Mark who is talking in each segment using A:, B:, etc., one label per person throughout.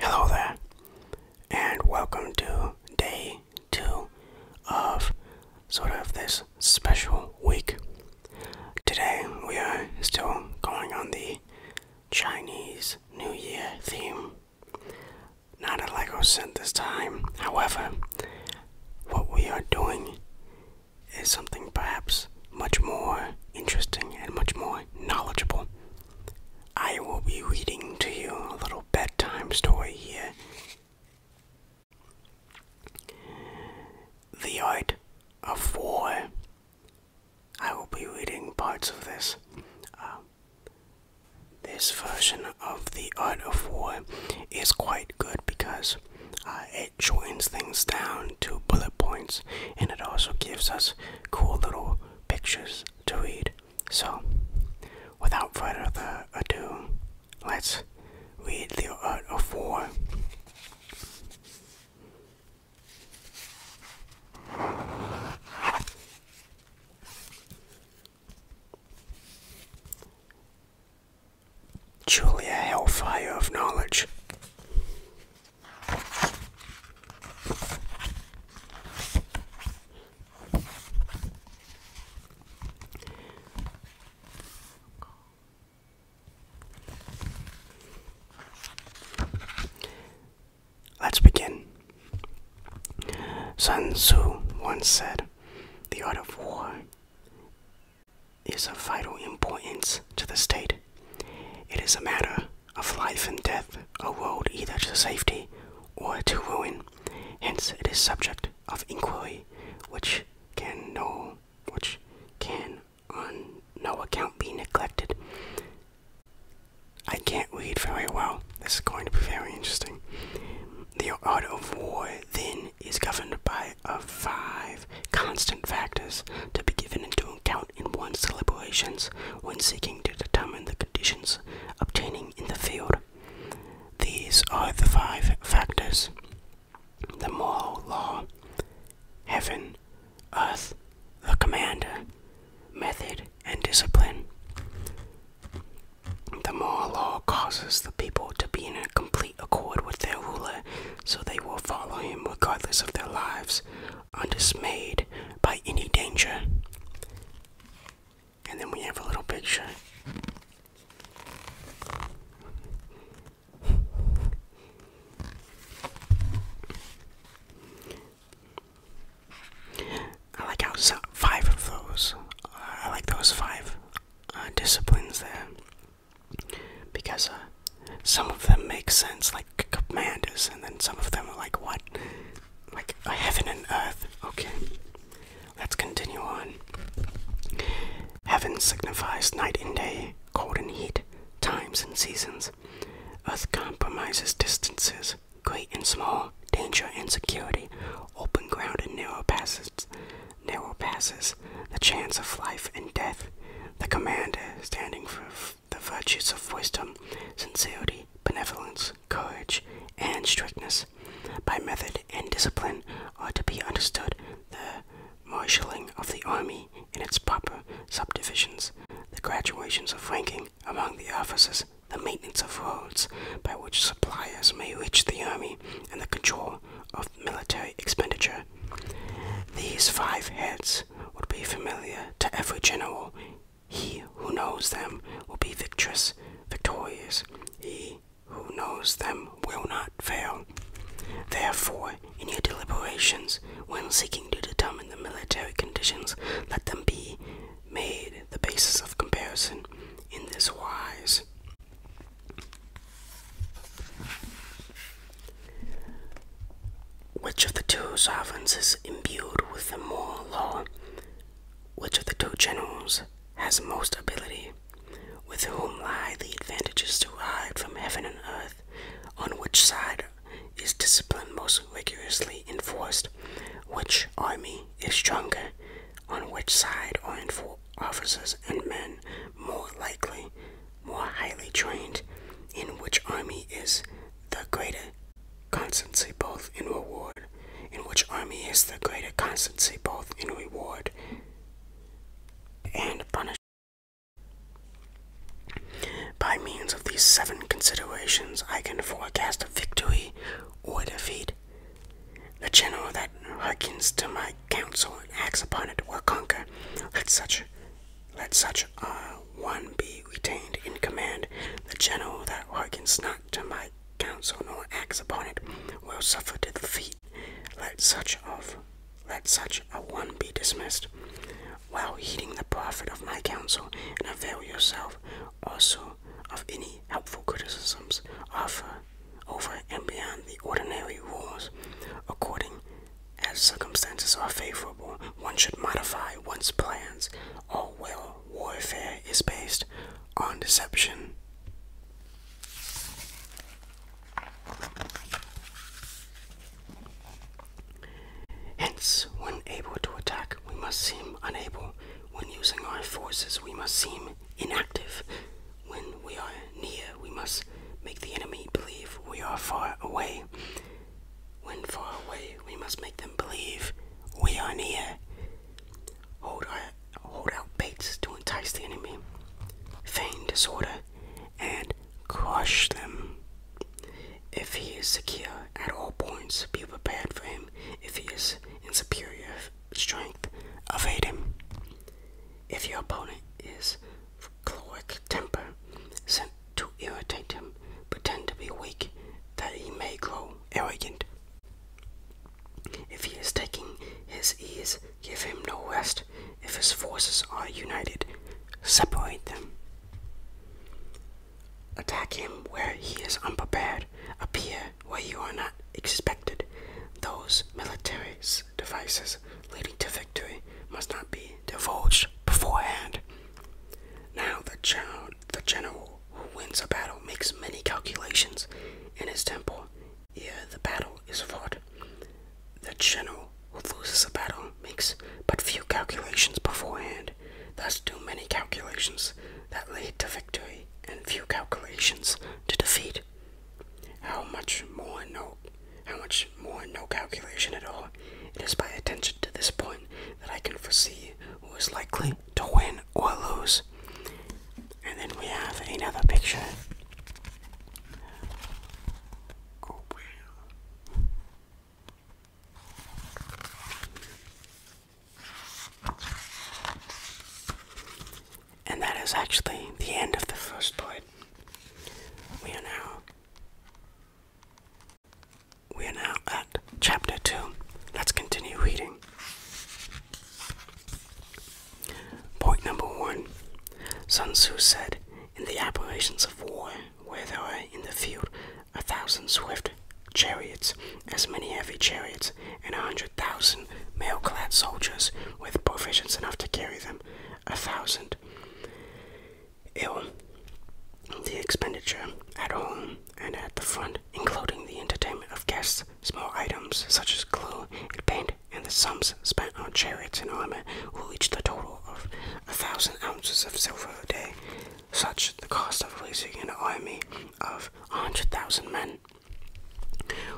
A: Hello there, and welcome to day two of sort of this special week. Today we are still going on the Chinese New Year theme. Not a Lego set this time, however, what we are doing is something perhaps much more interesting and much more knowledgeable. I will be reading to you a little bedtime story here. The Art of War. I will be reading parts of this. Um, this version of The Art of War is quite good because uh, it joins things down to bullet points and it also gives us cool little pictures to read. So, without further ado, let's read The Art of War. Julia Hellfire of Knowledge. Let's begin. Sun Tzu once said, The art of war is of vital importance to the state. It is a matter of life and death, a world either to safety or to ruin. Hence, it is subject of inquiry, which can no, which can on no account be neglected. I can't read very well. This is going to be very interesting. The art of war, then, is governed by of five constant factors to be given into account in one's deliberations when seeking to determine the conditions obtaining in the field. These are the five factors the moral law, heaven, earth, the commander, method, and discipline. The moral law causes the people to be in complete accord with their ruler, so they will follow him regardless of their lives, undismayed by any danger. And then we have a little picture. I like how five of those, uh, I like those five uh, disciplines there because uh, some of them make sense, commanders, and then some of them are like, what? Like a heaven and earth. Okay, let's continue on. Heaven signifies night and day, cold and heat, times and seasons. Earth compromises distances, great and small, danger and security, open ground and narrow passes. Narrow passes, the chance of life and death. The commander standing for the virtues of wisdom, sincerity, benevolence, courage, and strictness. By method and discipline are to be understood the marshalling of the army in its proper subdivisions, the graduations of ranking among the officers, the maintenance of roads by which suppliers may reach the army, and the control of military expenditure. These five heads would be familiar to every general he who knows them will be victorious. Victorious. He who knows them will not fail. Therefore, in your deliberations, when seeking to determine the military conditions, let them be made the basis of comparison in this wise. Which of the two sovereigns is imbued with the moral law? Which of the two generals has most ability? With whom lie the advantages derived from heaven and earth? On which side is discipline most rigorously enforced? Which army is stronger? On which side are officers and men more likely, more highly trained? In which army is the greater constancy both in reward, in which army is the greater constancy both in reward and punishment. By means of these seven considerations, I can forecast victory or defeat. The general that hearkens to my counsel and acts upon it will conquer. Let such let such a one be retained in command, the general that hearkens not to my counsel nor acts upon it will suffer to defeat. Let such of let such a one be dismissed, while heeding the profit of my counsel, avail yourself also of any helpful criticisms offer over and beyond the ordinary rules, according as circumstances are favorable, one should modify one's plans. All well warfare is based on deception. Hence, when able to attack, we must seem unable. When using our forces, we must seem inactive. When we are near, we must make the enemy believe we are far away. When far away, we must make them believe we are near. Hold, our, hold out baits to entice the enemy, feign disorder, and crush them. If he is secure at all points, be prepared for him. If he is in superior strength, evade him. If your opponent is choleric temper, sent to irritate him, pretend to be weak, that he may grow arrogant. If he is taking his ease, give him no rest. If his forces are united, separate them. Attack him where he is unprepared, appear where you are not expected. Those military devices leading to victory must not be divulged beforehand. Now the child, the general who wins a battle makes many calculations in his temple ere the battle is fought. The general who loses a battle makes but few calculations beforehand, thus too many calculations that lead to victory and few calculations to defeat. How much more no how much more no calculation at all. It is by attention to this point that I can foresee who is likely to win or lose. And then we have another picture. And that is actually the end of the first point. We are now we are now at chapter 2. Let's continue reading. Point number 1 Sun Tzu said, In the operations of war, where there are in the field a thousand swift chariots, as many heavy chariots, and a hundred thousand mail clad soldiers with provisions enough to carry them, a thousand ill. The expenditure at home and at the front, including the entertainment of guests, small items such as glue and paint, and the sums spent on chariots and armor, will reach the total of a thousand ounces of silver a day, such the cost of raising an army of a hundred thousand men.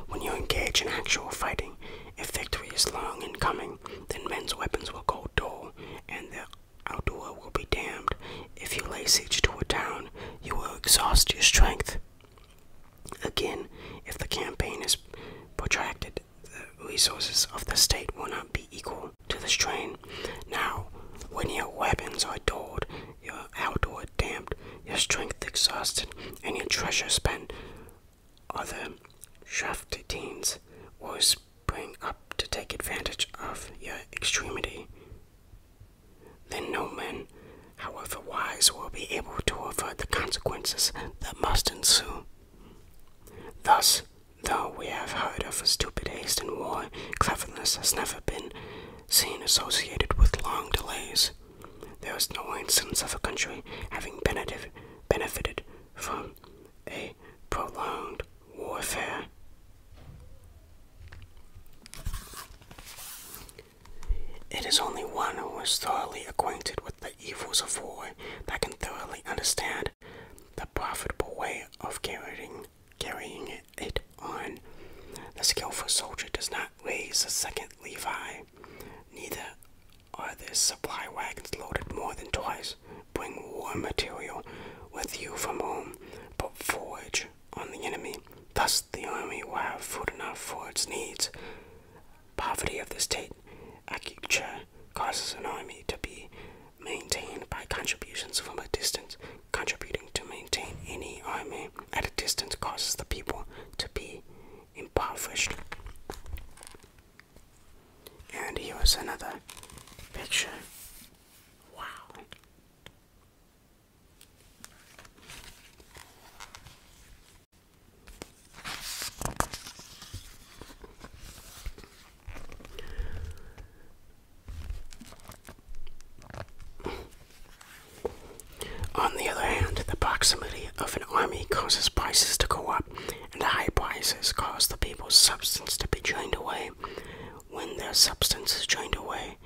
A: When you engage in actual fighting, if victory is long in coming, then men's weapons will go dull and their Aldua will be damned. If you lay siege to a town, you will exhaust your strength. Again, if the campaign is protracted, the resources of the state will not be equal to the strain. Now, when your weapons are dulled, your outdoor damped, your strength exhausted, and your treasure spent, other Shaftetines will spring up to take advantage of your extremity. Then no man, however wise, will be able to avert the consequences that must ensue. Thus, though we have heard of a stupid haste in war, cleverness has never been seen associated with long delays. There is no instance of a country having benefited from a prolonged warfare. It is only one who is thoroughly acquainted with the evils of war that can thoroughly understand the profitable way of carrying, carrying it on. The skillful soldier does not raise a second Levi, neither are there supply wagons loaded more than twice? Bring war material with you from home, but forage on the enemy. Thus the army will have food enough for its needs. Poverty of the state agriculture causes an army to be maintained by contributions from a distance. Contributing to maintain any army at a distance causes the people to be impoverished. And here's another picture. Wow. On the other hand, the proximity of an army causes prices to go up and the high prices cause the people's substance to be drained away. When their substance is drained away,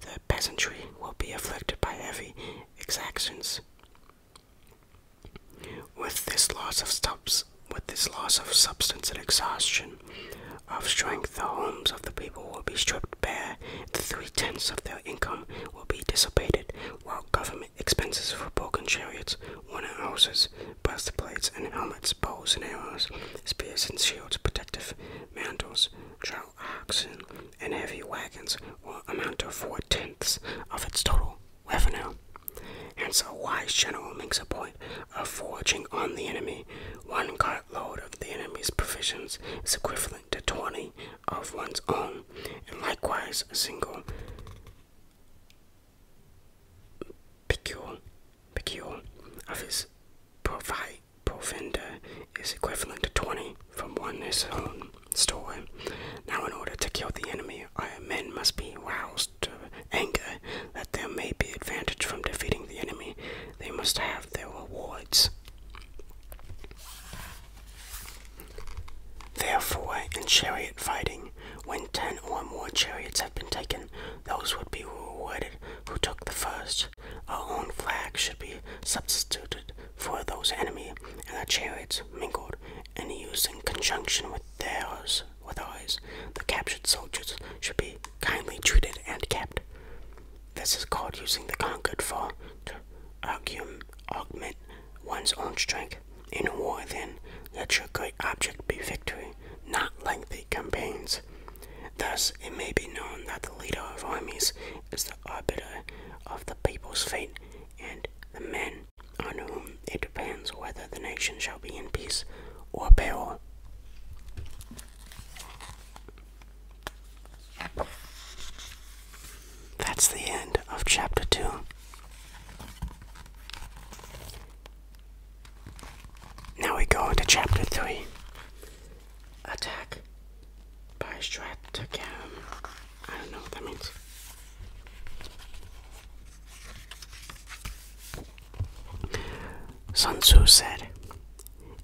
A: the peasantry will be afflicted by heavy exactions. With this loss of subs with this loss of substance and exhaustion of strength, the homes of the people will be stripped bare, three tenths of their income will be dissipated, while government expenses for broken chariots, wooden houses, breastplates and helmets, bows and arrows, spears and shields, protective mantles, chariots oxen, and heavy wagons will amount to four tenths of its total revenue. And so, wise general makes a point of foraging on the enemy. One cartload of the enemy's provisions is equivalent to 20 of one's own, and likewise, a single pecule, pecule of his provi provender is equivalent to 20 from one his own store. Now, in order to kill the enemy, men must be roused to anger that there may be advantage from defeating the enemy. They must have their rewards. Therefore, in chariot fighting, when ten or more chariots have been taken, those would be rewarded who took the first. Our own flag should be substituted for those enemy, and the chariots mingled and used in conjunction with theirs with ours. The captured soldiers should be kindly treated and kept. This is called using the conquered for to augment one's own strength. In war, then, let your great object be victory, not lengthy campaigns. Thus, it may be known that the leader of armies is the arbiter of the people's fate, and the men on whom it depends whether the nation shall be in peace or peril. That's the end of chapter 2. Now we go to chapter 3 Attack by Stratagem. I don't know what that means. Sun Tzu said,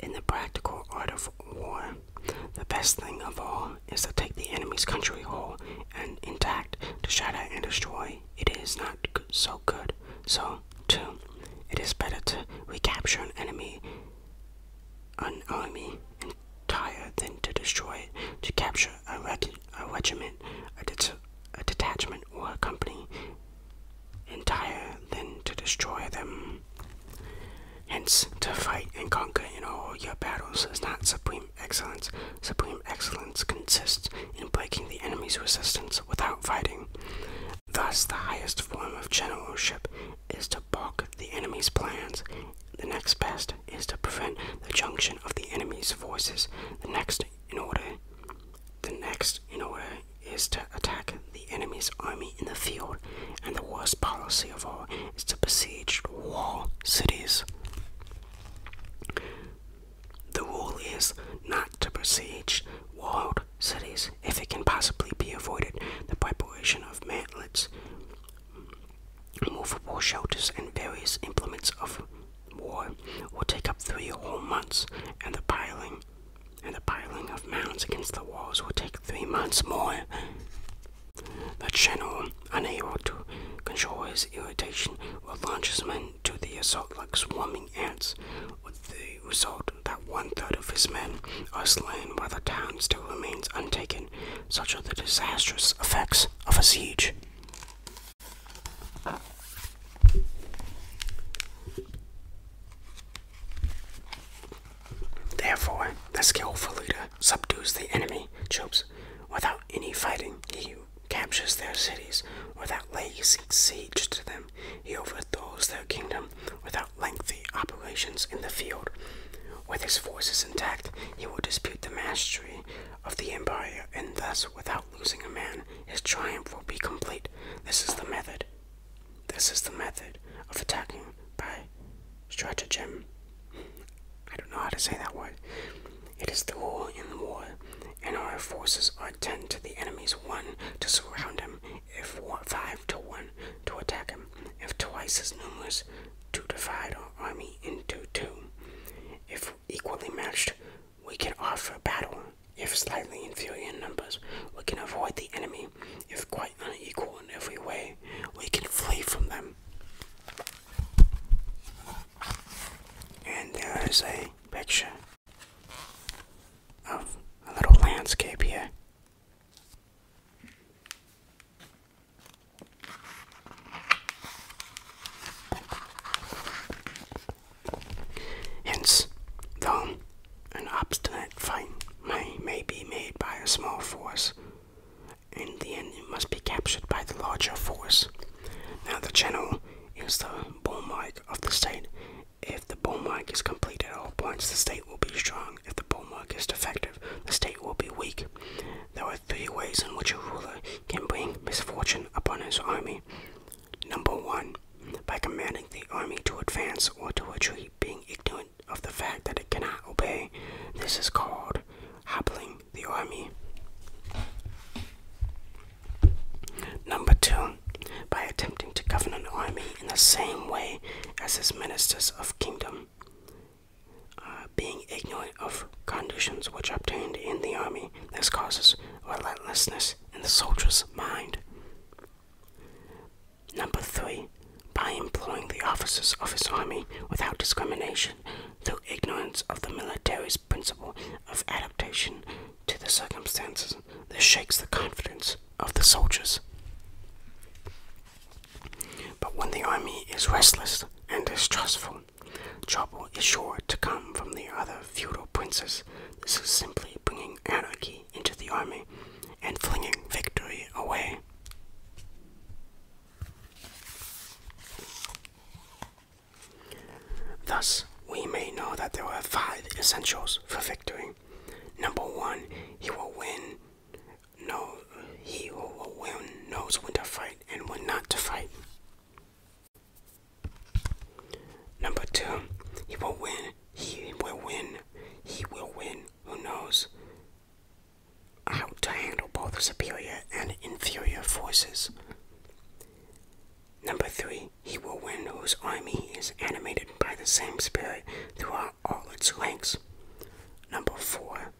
A: In the practical art of war, the best thing of all is to take the enemy's country whole and intact to shatter and destroy, it is not so good. So, too, it is better to recapture an enemy, an army entire than to destroy To capture a, reg a regiment, a, det a detachment, or a company entire than to destroy them. Hence, to fight and conquer in all your battles is not supreme excellence. Supreme excellence consists in breaking the enemy's resistance without fighting. Thus, the highest form of generalship is to balk the enemy's plans. The next best is to prevent the junction of the enemy's forces. The next in order the next in order is to attack the enemy's army in the field, and the worst policy of all is to besiege wall cities. The rule is not to besiege walled cities if it can possibly be avoided. The preparation of mantlets, movable shelters, and various implements of war will take up three whole months, and the piling and the piling of mounds against the walls will take three months more. The channel unable to control his irritation, would launch his men to the assault like swarming ants, with the result that one third of his men are slain while the town still remains untaken. Such are the disastrous effects of a siege. Therefore, the skillful leader subdues the enemy troops without any fighting captures their cities without laying siege to them. He overthrows their kingdom without lengthy operations in the field. With his forces intact, he will dispute the mastery of the empire, and thus, without losing a man, his triumph will be complete. This is the method. This is the method of attacking by stratagem. I don't know how to say that word. It is the rule in war, and our forces are ten to the enemy's one to surround him, if five to one to attack him, if twice as numerous to divide our army into two. If equally matched, we can offer battle. If slightly inferior in numbers, we can avoid the enemy. If quite unequal in every way, we can flee from them. And there is a picture of a little landscape here. Hence, though an obstinate fight may, may be made by a small force, in the end it must be captured by the larger force. Now the channel is the bull mark of the state. If the bull mark is complete at all points, the state will be strong. If the bull mark is defective, the state will be weak. There are three ways in which a ruler can bring misfortune upon his army. Number one, by commanding the army to advance or to retreat, being ignorant of the fact that it cannot obey. This is called Hobbling the army. Number two, by attempting to govern an army in the same way as his ministers of kingdom, uh, being ignorant of conditions which obtained in the army, this causes relentlessness in the soldier's mind. Number three, by employing the officers of his army without discrimination. The ignorance of the military's principle of adaptation to the circumstances. that shakes the confidence of the soldiers. But when the army is restless and distrustful, trouble is sure to come from the other feudal princes. This is simply bringing anarchy into the army and flinging victory away. Thus, we may know that there are five essentials for victory. Number one, he will win. No, he will win knows when to fight and when not to fight. Number two, he will win. He will win. He will win. Who knows? how to handle both superior and inferior forces. Number three, he will win whose army is animated by the same spirit throughout all its ranks. Number four,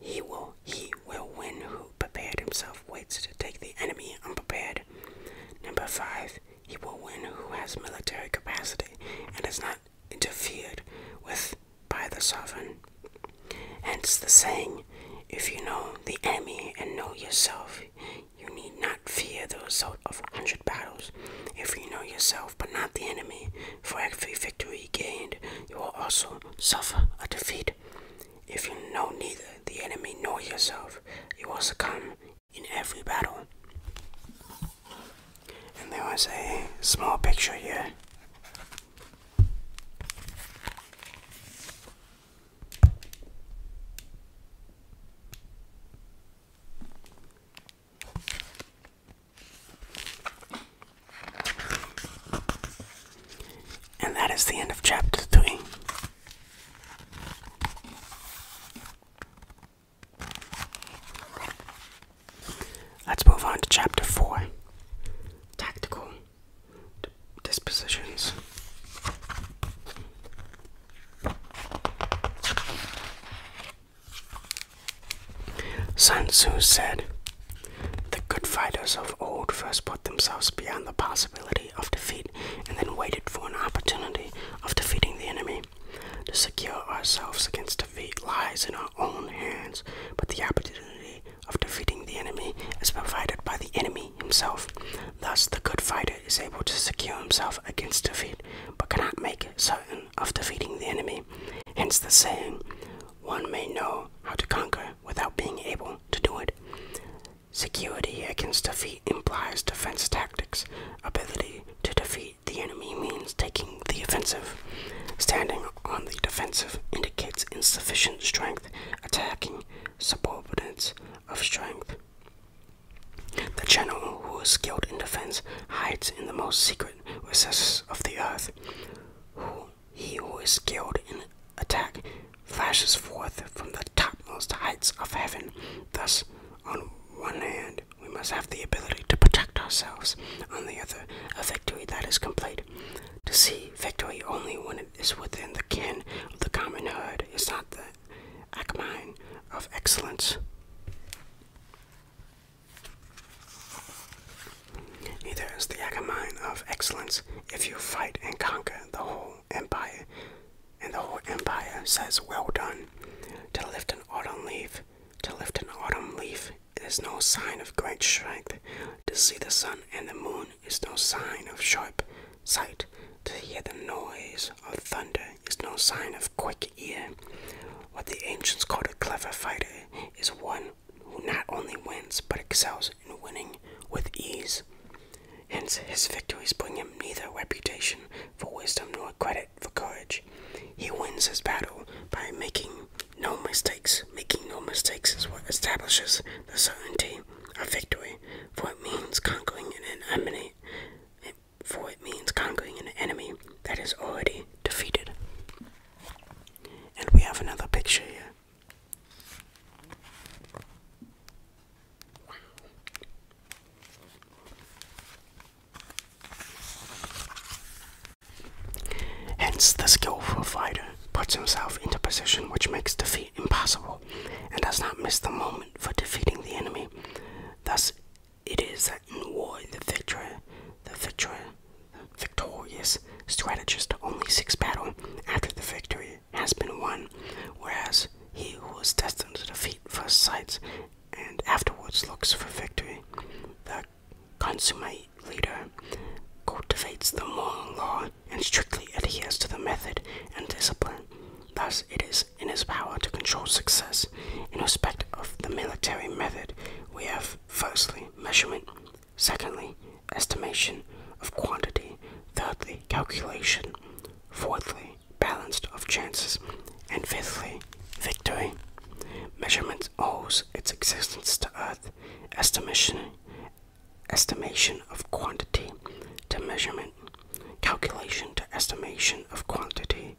A: he will he will win who prepared himself waits to take the enemy unprepared. Number five, he will win who has military capacity and is not interfered with by the sovereign. Hence the saying, if you know the enemy and know yourself, you need not fear the result of a hundred battles. If you know yourself but not the enemy, for every victory gained, you will also suffer a defeat. If you know neither the enemy nor yourself, you will succumb in every battle. And there was a small picture here and that is the end of chapter three. Let's move on to chapter four Tactical dispositions. Sun Tzu said, The good fighters of old first put themselves beyond the possibility of defeat and then waited for an opportunity of defeating the enemy. To secure ourselves against defeat lies in our own hands, but the opportunity of defeating the enemy is provided by the enemy himself. Thus, the good fighter is able to secure himself against defeat, but cannot make certain of defeating the enemy. Hence the saying, one may know how to conquer without being able to do it. Security against defeat implies defense tactics. Ability to defeat the enemy means taking the offensive, standing on the defensive indicates insufficient strength attacking subordinates of strength. The general who is skilled in defense hides in the most secret recesses of the earth. he who is skilled in attack flashes forth from the topmost heights of heaven. Thus, on one hand, we must have the ability to protect ourselves, on the other, a victory that is complete. To see victory only when it is within the ken of the common herd. is not the acmine of excellence. Neither is the acmine of excellence if you fight and conquer the whole empire. And the whole empire says, Well done. To lift an autumn leaf, to lift an autumn leaf is no sign of great strength. To see the sun and the moon is no sign of sharp sight. To hear the noise of thunder is no sign of quick ear. What the ancients called a clever fighter is one who not only wins but excels in winning with ease. Hence, his victories bring him neither reputation for wisdom nor credit for courage. He wins his battle by making no mistakes. Making no mistakes is what establishes the certainty of victory, for it means conquering an enemy. For it means conquering an enemy that is already defeated. And we have another picture here. Hence, the skillful fighter puts himself into position which makes defeat impossible and does not miss the moment for defeating the enemy. Thus, it is that in war the victor, the victor, victorious strategist only seeks battle after the victory has been won, whereas he who is destined to defeat first sights and afterwards looks for victory. The consummate leader, cultivates the moral law, and strictly adheres to the method and discipline. Thus, it is in his power to control success. In respect of the military method, we have firstly, measurement, secondly, estimation of quantity, thirdly, calculation, fourthly, balanced of chances, and fifthly, victory. measurements owes its existence to Earth, estimation, estimation of quantity to measurement, calculation to estimation of quantity,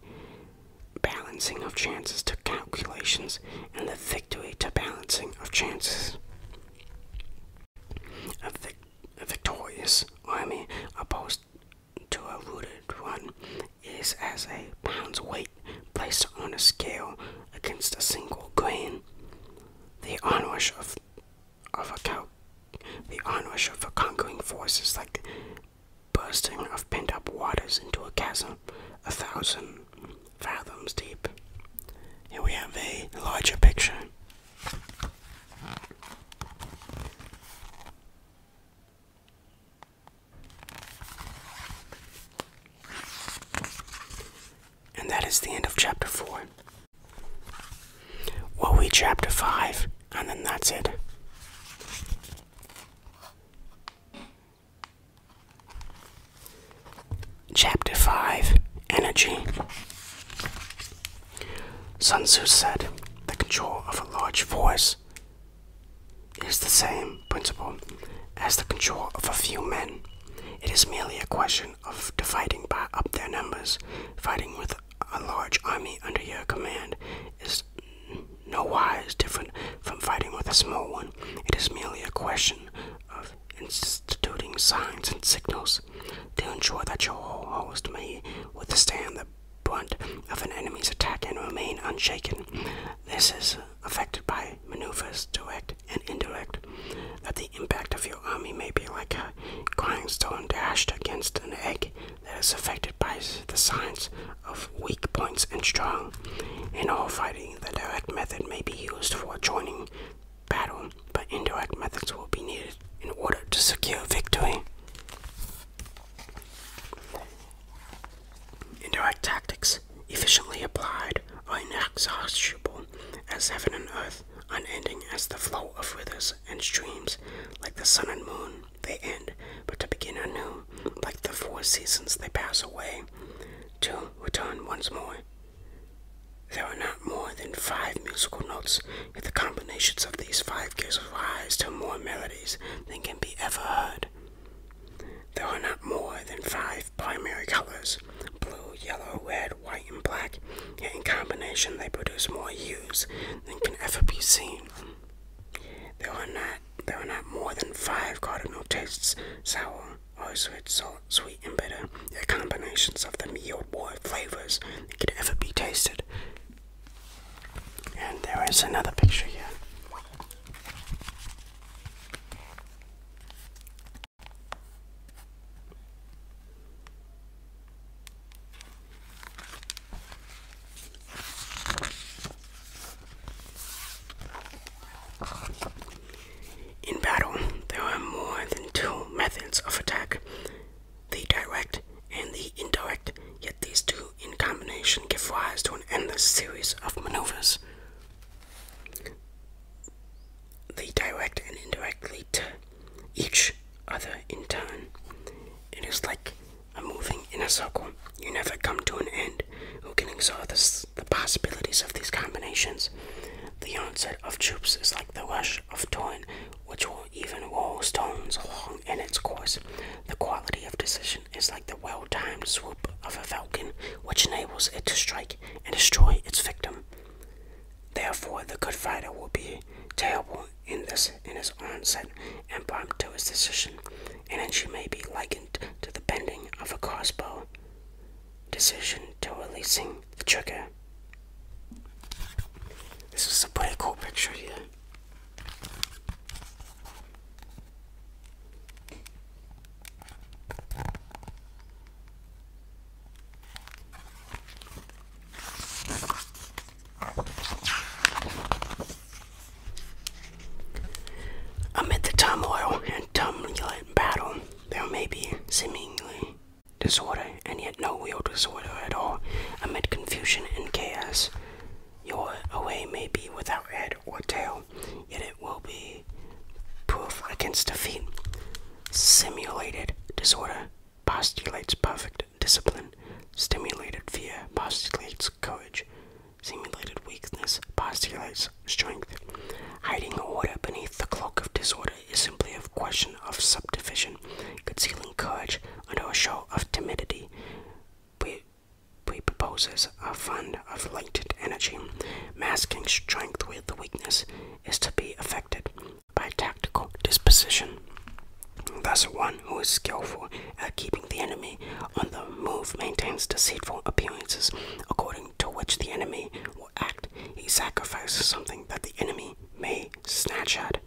A: balancing of chances to calculations, and the victory to balancing of chances. A, vic victorious army opposed to a rooted one is as a pound's weight placed on a scale against a single grain. The onrush of of a the onrush of a conquering force is like bursting of pent-up waters into a chasm a thousand fathoms deep. Here we have a larger picture. And that is the end of chapter 4. We'll read chapter 5, and then that's it. Chapter 5 Energy. Sun Tzu said, The control of a large force is the same principle as the control of a few men. It is merely a question of dividing by up their numbers. Fighting with a large army under your command is no wise different from fighting with a small one. It is merely a question of instituting signs and signals to ensure that your host may withstand the brunt of an enemy's attack and remain unshaken. This is affected by maneuvers, direct and indirect, that the impact of your army may be like a grinding stone dashed against an egg that is affected by the science of weak points and strong. In all fighting, the direct method may be used for joining battle, but indirect methods will be needed in order to secure victory. Indirect tactics efficiently applied are inexhaustible as heaven and earth, unending as the flow of rivers and streams, like the sun and moon, they end, but to begin anew, like the four seasons, they pass away, to return once more. There are not more than five musical notes, yet the combinations of these five gives rise to more melodies than can be ever heard. There are not more than five primary colors blue, yellow, red, white, and black, yet in combination they produce more hues than can ever be seen. There are not there are not more than five cardinal tastes sour, or sweet, salt, sweet, and bitter, yet combinations of them yield more flavors than could ever be tasted. And there is another picture here. In battle, there are more than two methods of attack the direct and the indirect, yet these two in combination give rise to an endless series of maneuvers. They direct and indirectly to each other in turn. It is like a moving in a circle. You never come to an end. Who can exhaust the possibilities of these combinations? The onset of troops is like the rush of torrent, which will even roll stones along in its course. The quality of decision action is like the well timed swoop of a falcon, which enables it to strike and destroy its victim. Therefore, the Good Fighter will be terrible in this in his onset and prompt to his decision, and entry may be likened to the bending of a crossbow decision to releasing the trigger. This is a pretty cool picture here. Amid the turmoil and turbulent battle, there may be seemingly disorder and yet no real disorder at all. Amid confusion and chaos, your away may be without or tail, yet it will be proof against defeat. Simulated disorder postulates perfect discipline. Stimulated fear postulates courage. Simulated weakness postulates strength. Hiding order beneath the cloak of disorder is simply a question of subdivision, concealing courage under a show of timidity. We he proposes a fund of latent energy, masking strength with weakness, is to be affected by tactical disposition. Thus, one who is skillful at keeping the enemy on the move maintains deceitful appearances, according to which the enemy will act. He sacrifices something that the enemy may snatch at.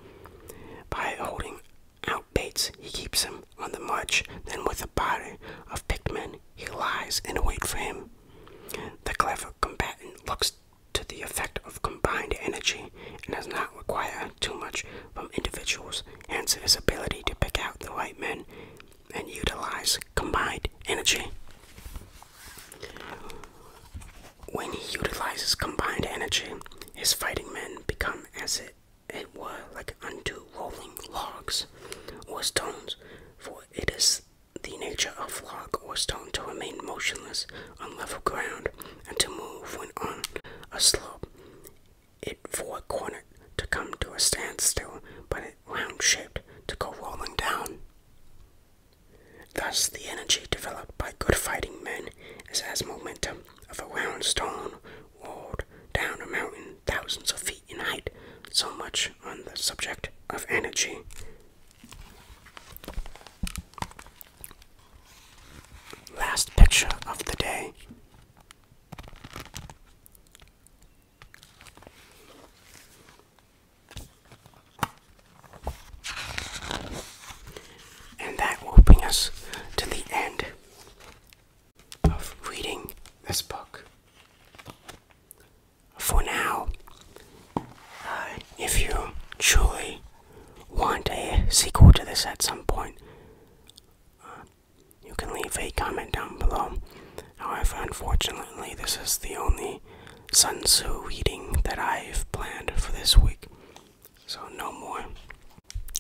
A: By holding out baits, he keeps him on the march, then with a body of picked men, he lies in wait for him. The clever combatant looks to the effect of combined energy and does not require too much from individuals, hence his ability to pick out the white men and utilize combined energy. When he utilizes combined energy, his fighting men become as it it were like unto rolling logs or stones, for it is the nature of log or stone to remain motionless on level ground and to move when on a slope. It for a corner to come to a standstill, but it round shaped to go rolling down. Thus, the energy developed by good fighting men is as momentum of a round stone rolled down a mountain thousands of feet in height. So much on the subject of energy. Last picture of the day. And that will bring us to the end of reading this book. For now, uh, if you truly want a sequel to this at some point, uh, you can leave a comment down below. However, unfortunately, this is the only Sun Tzu reading that I've planned for this week. So, no more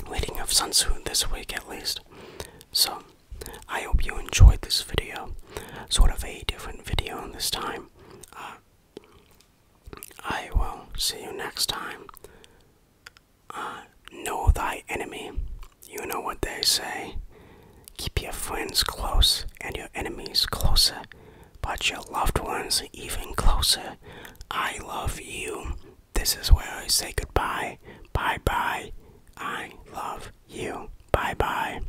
A: reading of Sun Tzu this week at least. So, I hope you enjoyed this video. Sort of a different video this time. Uh, I will see you next time. Uh, know thy enemy. You know what they say. Keep your friends close and your enemies closer, but your loved ones even closer. I love you. This is where I say goodbye. Bye bye. I love you. Bye bye.